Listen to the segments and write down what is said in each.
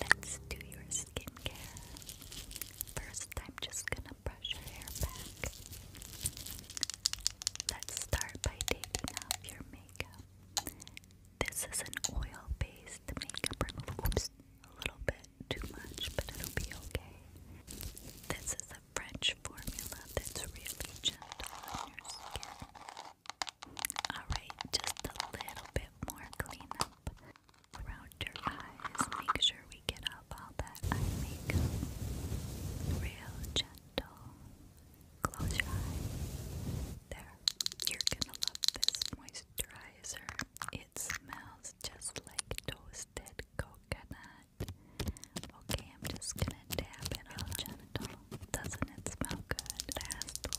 Let's do your skincare. First, I'm just gonna brush your hair back. Let's start by taking off your makeup. This is an oil-based makeup remover. a little bit too much, but it'll be okay. This is a French formula that's really gentle on your skin. Alright, just a little bit more cleanup around your eyes. Make sure we get up all that makeup. Real gentle. Close your eye. There. You're gonna love this moisturizer. It smells just like toasted coconut. Okay, I'm just gonna dab it all gentle. Doesn't it smell good? Last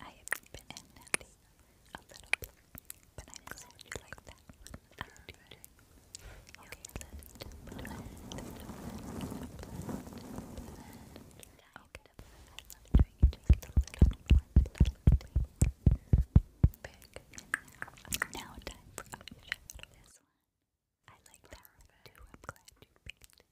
I have been naughty a little bit, but I'm glad you like that one. I do too. Okay, blend, blend, blend, blend, blend. Okay, I love doing it a little blend, a little bit now, time for eyeshadow. This one. I like that one too. I'm glad you picked it.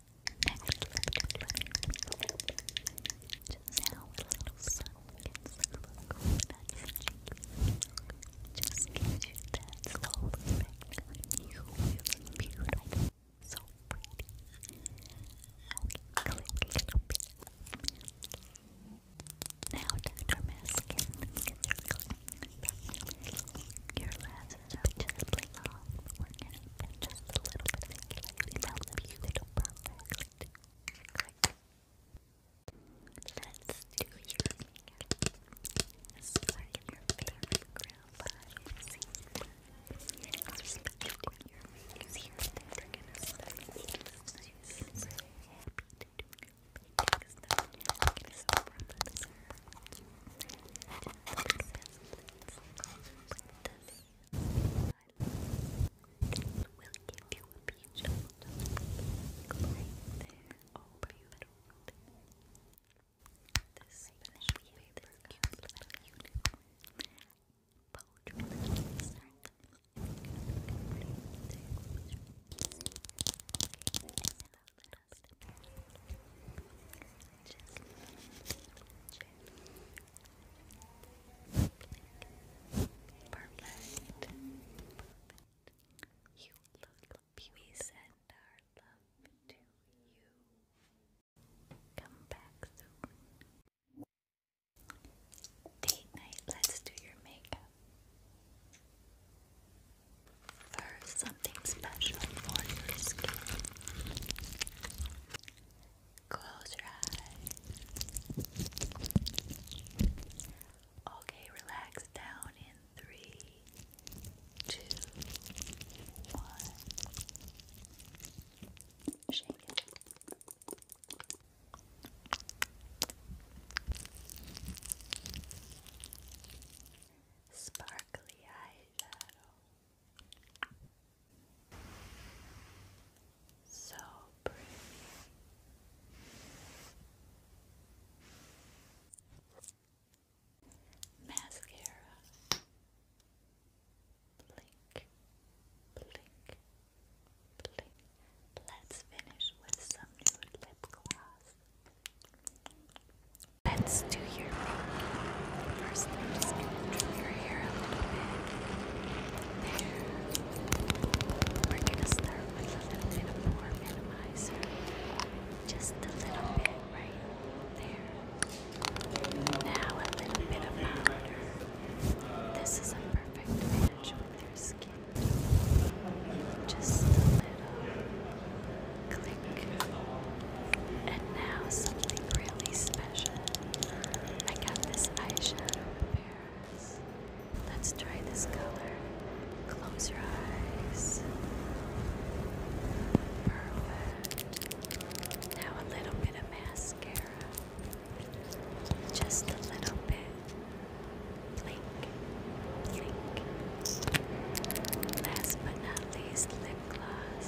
Just a little sun gets a little nice and cheeky. Just gives you that slow effect you feel beautiful. So pretty. Okay, click a little bit. Now, Dr. Maskin, let Your last it just a little. we just little bit of ink to help you Let's do your makeup. Start your favorite ground by using our special your makeup here. We're gonna start so happy to do your makeup. We're gonna start from the We'll give you a peach right there. This special paper comes a little bit Perfect. You we send our love to you. Come back soon. Date night, let's do your makeup. First, something special for your skin. Close your eyes. Okay, relax down in three, two, one. Shake Sparkly eyeshadow. So pretty. Mascara. Blink, blink, blink. Let's finish with some nude lip gloss. Let's do your First, I'm your hair a little bit. There. We're gonna start with a little bit of more minimizer. Just a little bit right there. Now a little bit of powder. This is a perfect match with your skin. Just Click. And now something really special. I got this eyeshadow in Paris. Let's try this color. Close your eyes. Perfect. Now a little bit of mascara. Just a little bit. Blink, blink. Last but not least, lip gloss.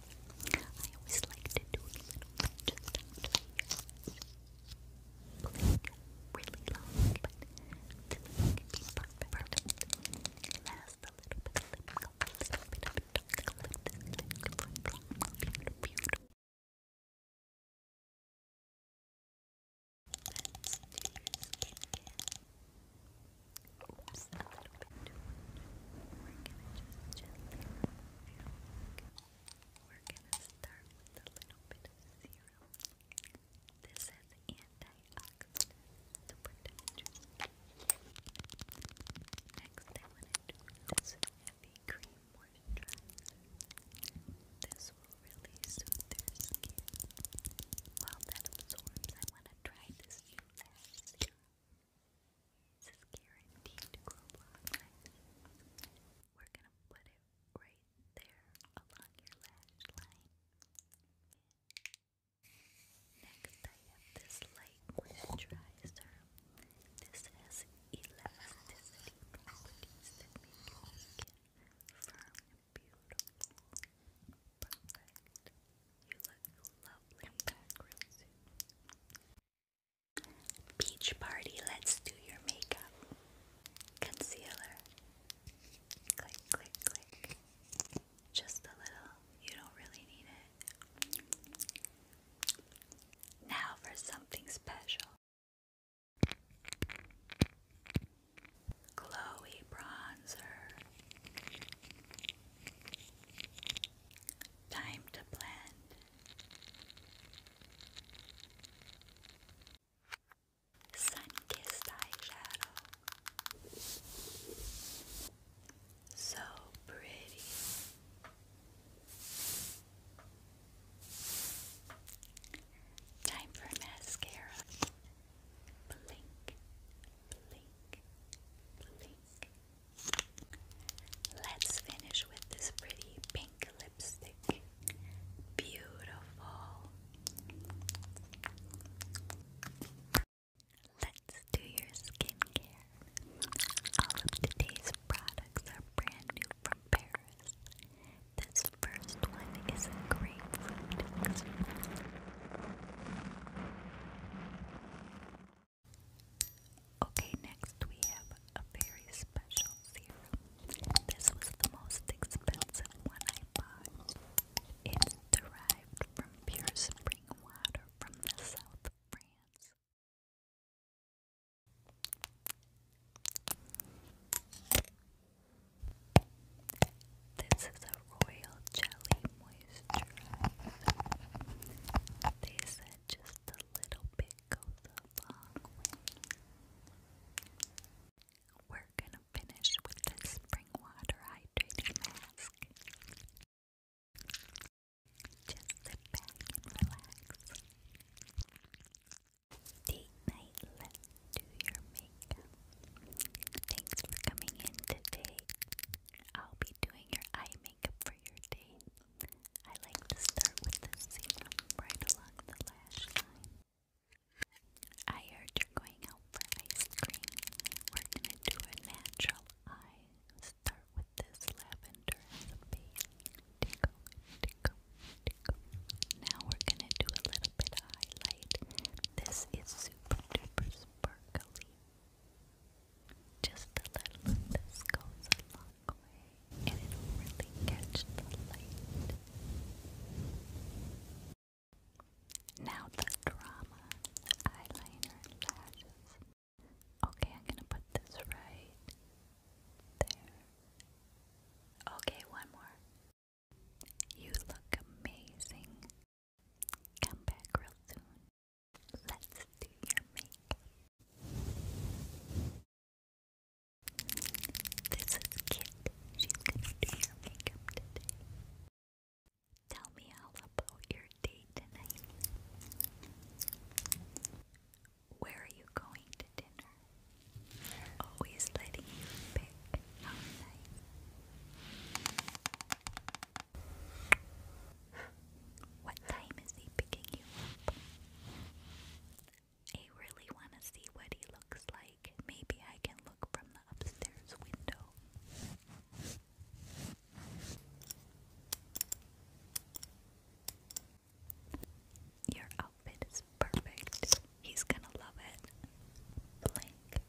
I always like to do a little just after the really long, but this can be perfect. perfect. Last a little bit of lip gloss, a little bit of dark lip, this lip gloss, beautiful, beautiful. Let's do your skincare. Oops, a little bit too much. We're gonna just gently we're gonna start with a little bit of serum. This has antioxidants you. Next, I want to do this heavy cream moisturizer. This will really soothe your skin. While that absorbs, I want to try this new this is guaranteed We're gonna put it right there along your lash line. Next I have this light moisturizer. This has elasticity properties that make your skin firm beautiful. Perfect. You look lovely in Beach Party, let's do your makeup. Concealer. Click, click, click. Just a little. You don't really need it. Now for something special. Glowy bronzer. Time to blend. Sun-kissed eyeshadow. So pretty. Time for mascara. Blink, blink, blink. Let's finish with this pretty pink lipstick. Beautiful. Let's do your skincare. All of today's products are brand new from Paris. This first one is a grapefruit. Okay, next we have a very special serum. This was the most expensive one I bought. It's derived from pure spring water from the south of France. This is a royal jelly moisturizer. They said just the little bit goes a long way. We're gonna finish with this spring water hydrating mask. Just sit back and relax. Date night, let's do your makeup. Thanks for coming in today. I'll be doing your eye makeup for your date. I like to start with the serum right along the lash line. I heard you're going out for ice cream. We're gonna do a natural eye. Start with this lavender as a base. Now we're gonna do a little bit of highlight. This is super duper sparkly. Just a little of this goes a long way, and it really catch the light. Now the drama, eyeliner and lashes. Okay, I'm gonna put this right there. Okay, one more. You look amazing. Come back real soon. Let's do your makeup. This is Kit. She's gonna do your makeup today. Tell me all about your date tonight. Where are you going to dinner? Always letting you pick. How nice. What time is he picking you up? I really want to see what he looks like. Maybe I can look from the upstairs window. Your outfit is perfect. He's gonna love it. Blink,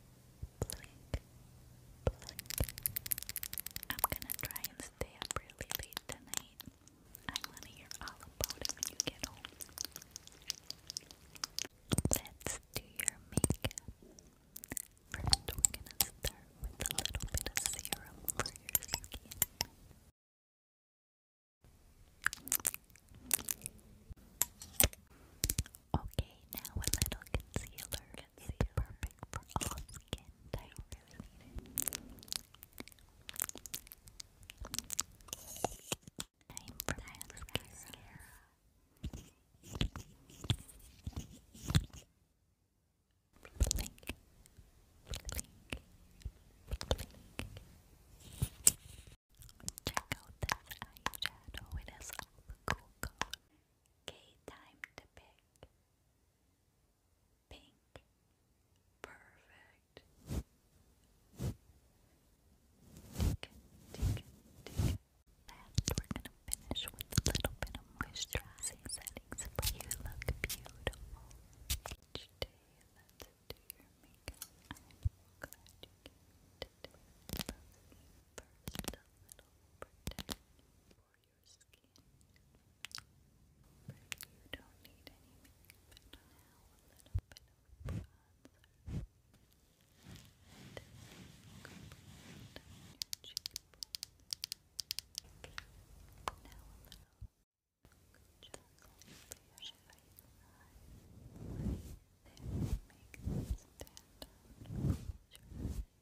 blink, blink. I'm gonna try and stay up really late tonight. I want to hear all about it when you get home. Let's do your makeup. First, we're gonna start with a little bit of serum for your skin. Okay, now a little concealer concealer. It's perfect for all skin types. Really for my mascara. Blink, blink, blink. Check out this eyeshadow, it has cool Okay, time to pick. Pink. Perfect. Tick, tick, tick. Last, we're going to finish with a little bit of moisturizing settings for you look beautiful. Each day, let's do your makeup. I'm glad you came today. First, a little protection for your skin. you don't need any makeup now, a little bit And then down your cheekbone. Now a little chocolate facial highlight. There, make them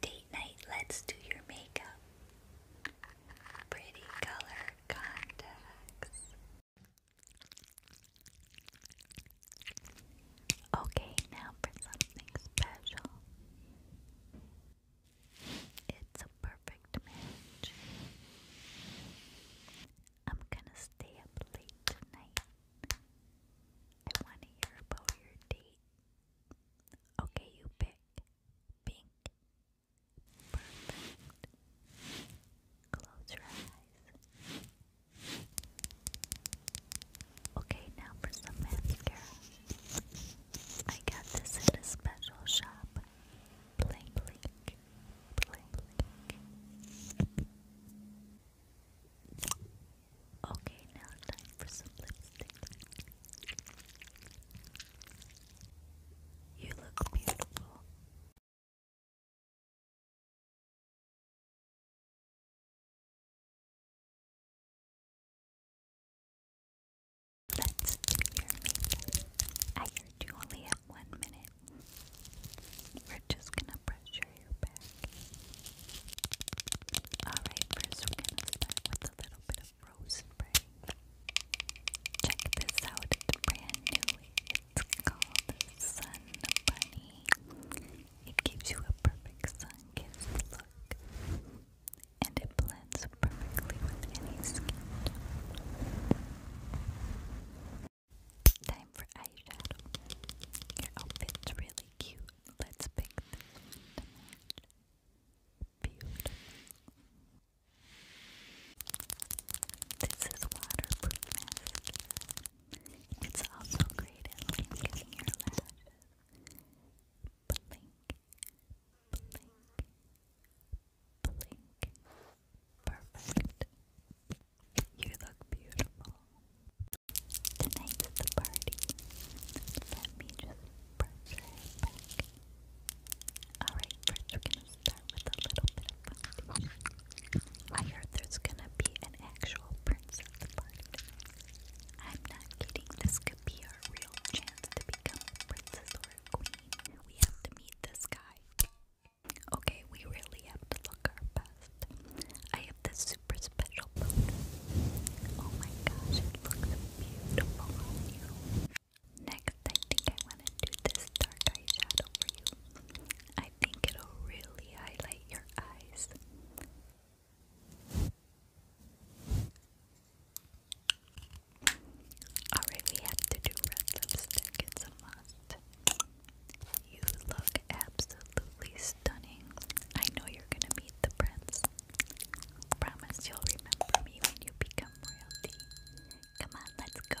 Date night, let's do your makeup. Pretty color contacts. Okay, now for something special. It's a perfect match. I'm gonna stay up late tonight. I want to hear about your date. Okay, you pick pink. Perfect. Close your eyes. Okay, now for some mascara. I got this at a special shop. blink, blink, blink. Okay, now time for some lipstick. You look beautiful. Let's do your makeup. I heard you only have one minute. We're just gonna pressure your back. Alright, first we're going to start with a little bit of rose spray. Check this out, it's brand new. It's called Sun Bunny. It gives you a perfect sun kiss look. And it blends perfectly with any skin Time for eyeshadow. Your outfit's really cute. Let's pick this Beautiful. This is waterproof It's also great at blinking your lashes. Blink, blink, blink. Perfect. You look beautiful. Tonight's the party. Let me just brush Alright, first we're gonna start with a little bit of foundation. I heard there's gonna be an actual prince party. I'm not kidding, this could be our real chance to become princess or queen. We have to meet this guy. Okay, we really have to look our best. I have this super special powder. Oh my gosh, it looks beautiful Next, I think I want to do this dark eyeshadow for you. I think it'll really highlight your eyes. Alright, we have to do red lipstick. It's a must. You look absolutely absolutely stunning. I know you're gonna meet the prince. Promise you'll remember me when you become royalty. Come on, let's go.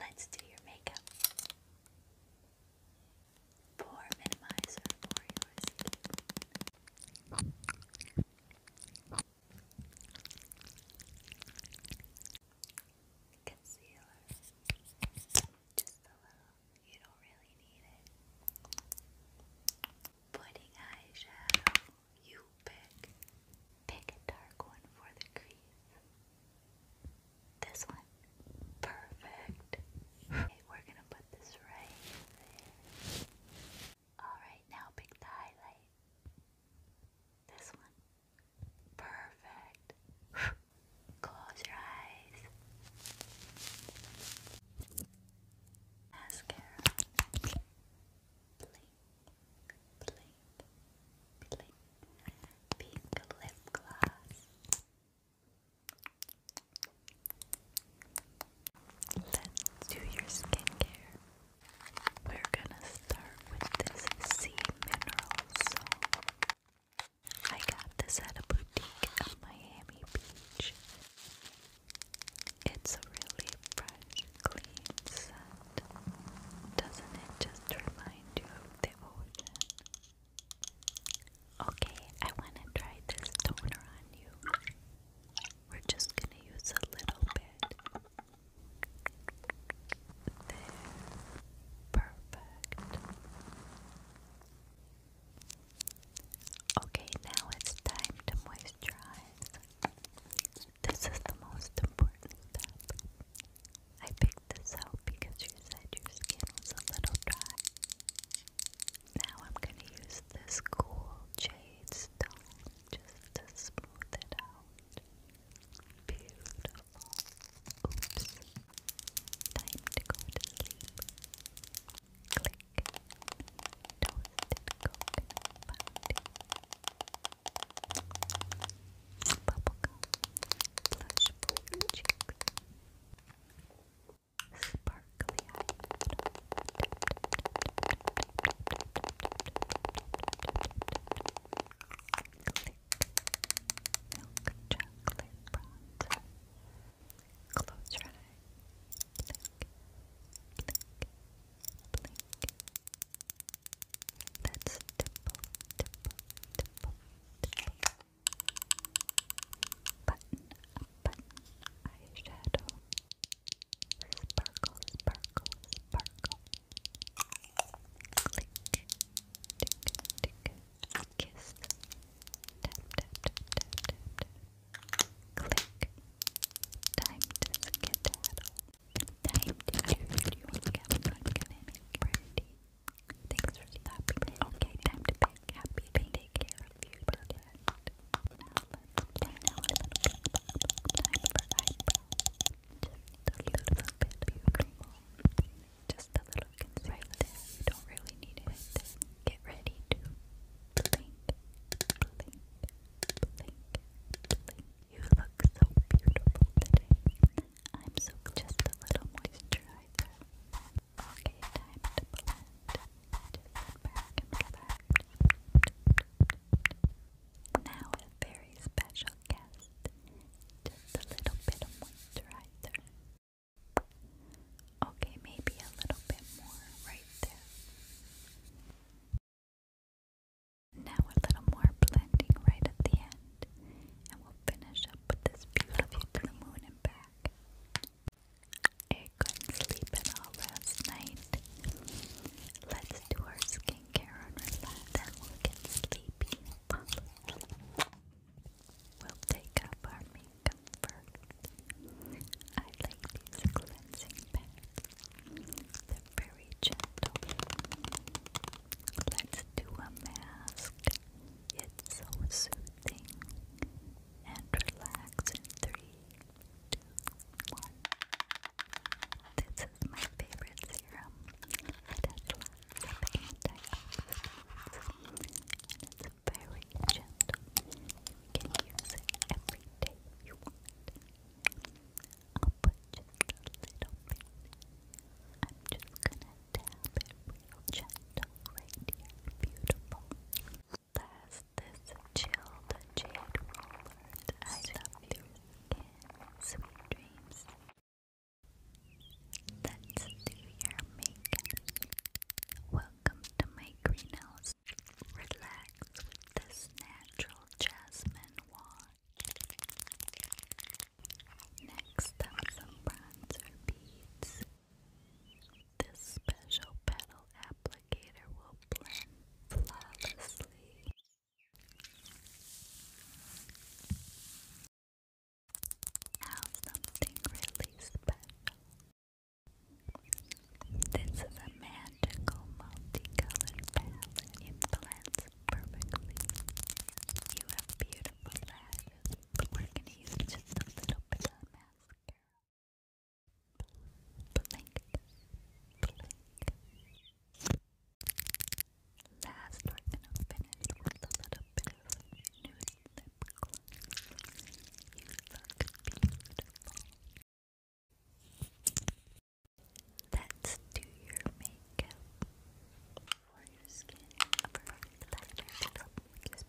Let's do your makeup. Pour minimizer for your Concealer. Just a little. You don't really need it. Pointing eyeshadow. You pick. Pick a dark one for the crease. This one. Perfect. we're gonna put this right there. Alright, now pick the highlight. This one. Perfect. Close your eyes. Mascara. Blink, blink, blink. Pink lip gloss. Let's do your skincare. We're gonna start with this sea mineral I got this at a boutique in Miami Beach. It's really fresh, clean Doesn't it just remind you of the ocean? Okay, I want to try this toner on you. We're just going to use a little bit. There. Perfect. Okay, now it's time to moisturize. This is the most important step. I picked this out because you said your skin was a little dry. Now I'm going to use this cool jade stone just to smooth it out. Beautiful. Oops. Time to go to sleep. Click. Toasted coconut bounty. Bubblegum. Blush for your sparkly eyes. chocolate bronzer. Close your eye. Click. Click. Blink. That's dimple, dimple, Button, button, eyeshadow, Sparkle, sparkle, sparkle. Click, tick, tick. Kiss. Tap, tap, tap, tap, Click. Time to skedaddle. Time to choose your makeup. I'm gonna make pretty. Thanks for stopping. Okay, time to pick happy. Take care of you. Just a little bit right there. You don't really need it. Get ready to blink, blink, blink, blink. You look so beautiful today. I'm just a little moisturizer. Okay, time to blend back and Now a very special guest, just a little bit of moisturizer. Okay, maybe a little bit more right there. Now a little more blending right at the end, and we'll finish up with this beautiful to moon and I couldn't sleep at all last night. Let's do our skincare and relax, then we'll get sleepy. We'll take up our makeup I like these cleansing pads. They're very gentle. Let's do a mask. It's so soothing and relaxing. Three, two, one. This is my favorite serum. It has lots of antioxidants and it's very gentle. You can use it every day you want. I'll put just a little bit. I'm just gonna tap it real gentle right here. Beautiful. Blast this chilled jade roller. I love your skin. Sweet dreams. let do your makeup. Welcome to my greenhouse. Relax with this natural jasmine wand. Next up, some bronzer beads. This special petal applicator applicator This is a magical multicolored palette. It blends perfectly. You have beautiful lashes, we're going to use just a little bit of mascara blink, Last, we're gonna finish with a little bit of nude lip gloss. You look beautiful. Let's do your makeup for your skin. Let's try this. Try this. This is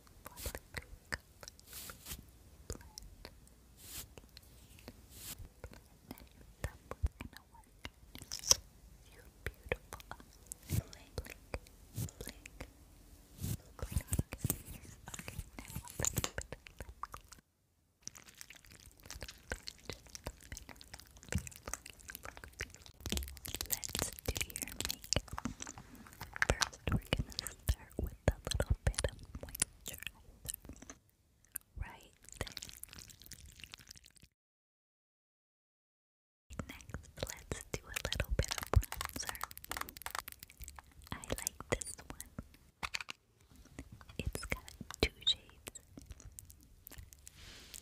blink, Let's do your makeup. First, we're gonna start with a little bit of moisturizer. Right Next, let's do a little bit of bronzer. I like this one. It's got two shades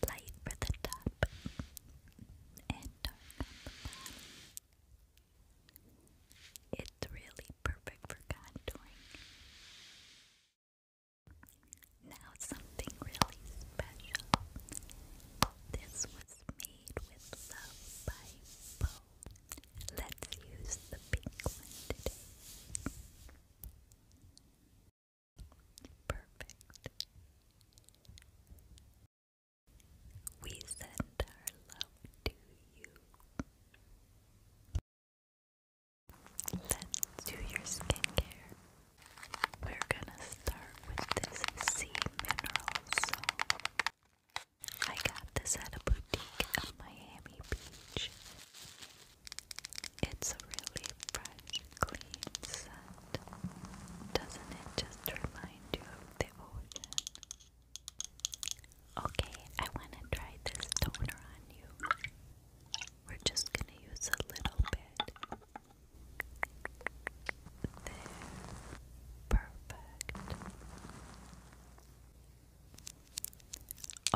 light for the top and it's really perfect for contouring. Now something really special. This was made with love by Bo. Let's use the pink one today. Perfect. We send our love to you. Let's do your skincare. We're gonna start with this sea mineral soap. I got this at a boutique in Miami Beach. It's really fresh, clean doesn't it just remind you of the ocean? Okay, I wanna try this toner on you. We're just gonna use a little bit. There. Perfect.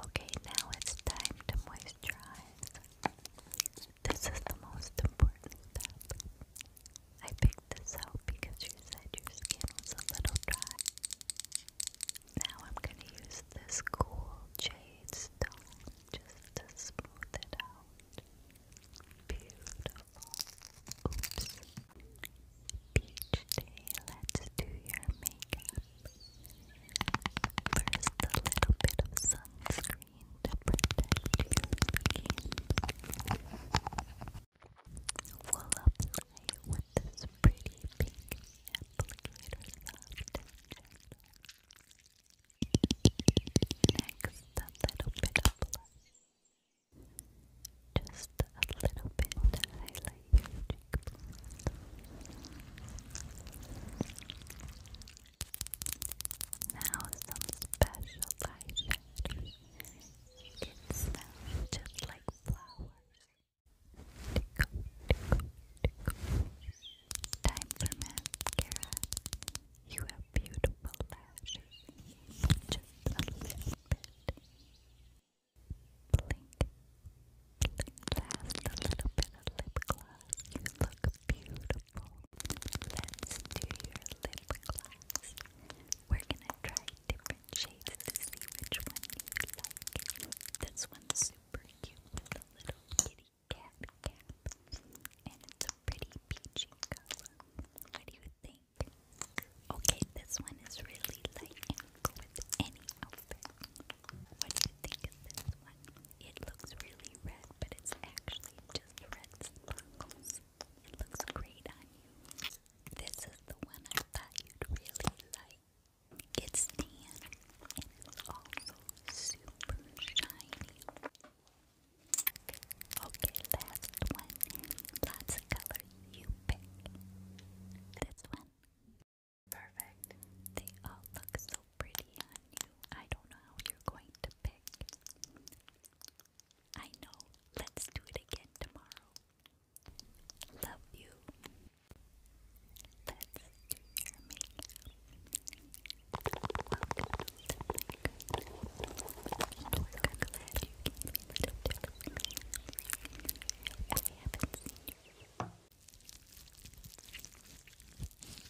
Okay, now it's time to moisturize. This is the most important step. I picked this out because you said your skin was a little dry. Now I'm going to use this cool jade stone just to smooth it out. Beautiful. Oops. Beach day, let's do your makeup. First, a little bit of sunscreen machine to protect you. will apply it with this pretty pink applicator soft and a little bit Just a little bit to highlight your cheekbones. Now some special eyeshadows. It smells just like flowers. Time for mascara. You have beautiful lashes. Just a little bit. Blink, blink. Last a little bit of lip gloss. You look beautiful. Let's do your lip gloss. We're gonna try different shades to see which one you like. This one's super cute with a little kitty cat cap, and it's a pretty peachy color. What do you think? Okay, this one is really light with any outfit. What do you think of this one? It looks really red, but it's actually just red sparkles. It looks great on you. This is the one I thought you'd really like. It's tan it's also super shiny. Okay, last one. Lots of color you pick. This one. Perfect. They all look so pretty on you. I don't know how you're going to pick. I know. Let's do it again tomorrow. Love you. Let's do your I'm glad you came in If we haven't seen you.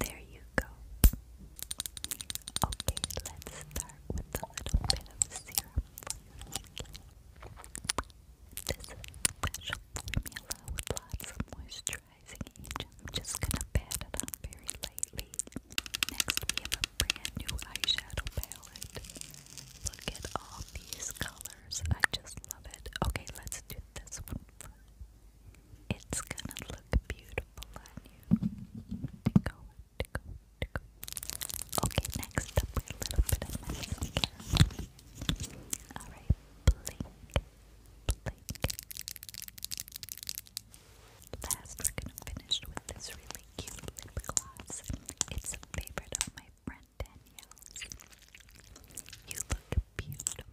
There you go. Okay, let's start with a little bit of serum for This special formula with lots of moisturizing agent. I'm just gonna pat it on very lightly. Next, we have a brand new eyeshadow palette. Look at all these colors. I just love it. Okay, let's do this one first. It's gonna look beautiful on you. Okay, next up, a little bit of mascara. Alright, blink, blink. Last, we're gonna finish with this really cute lip gloss. It's a favorite of my friend Danielle's. You look beautiful.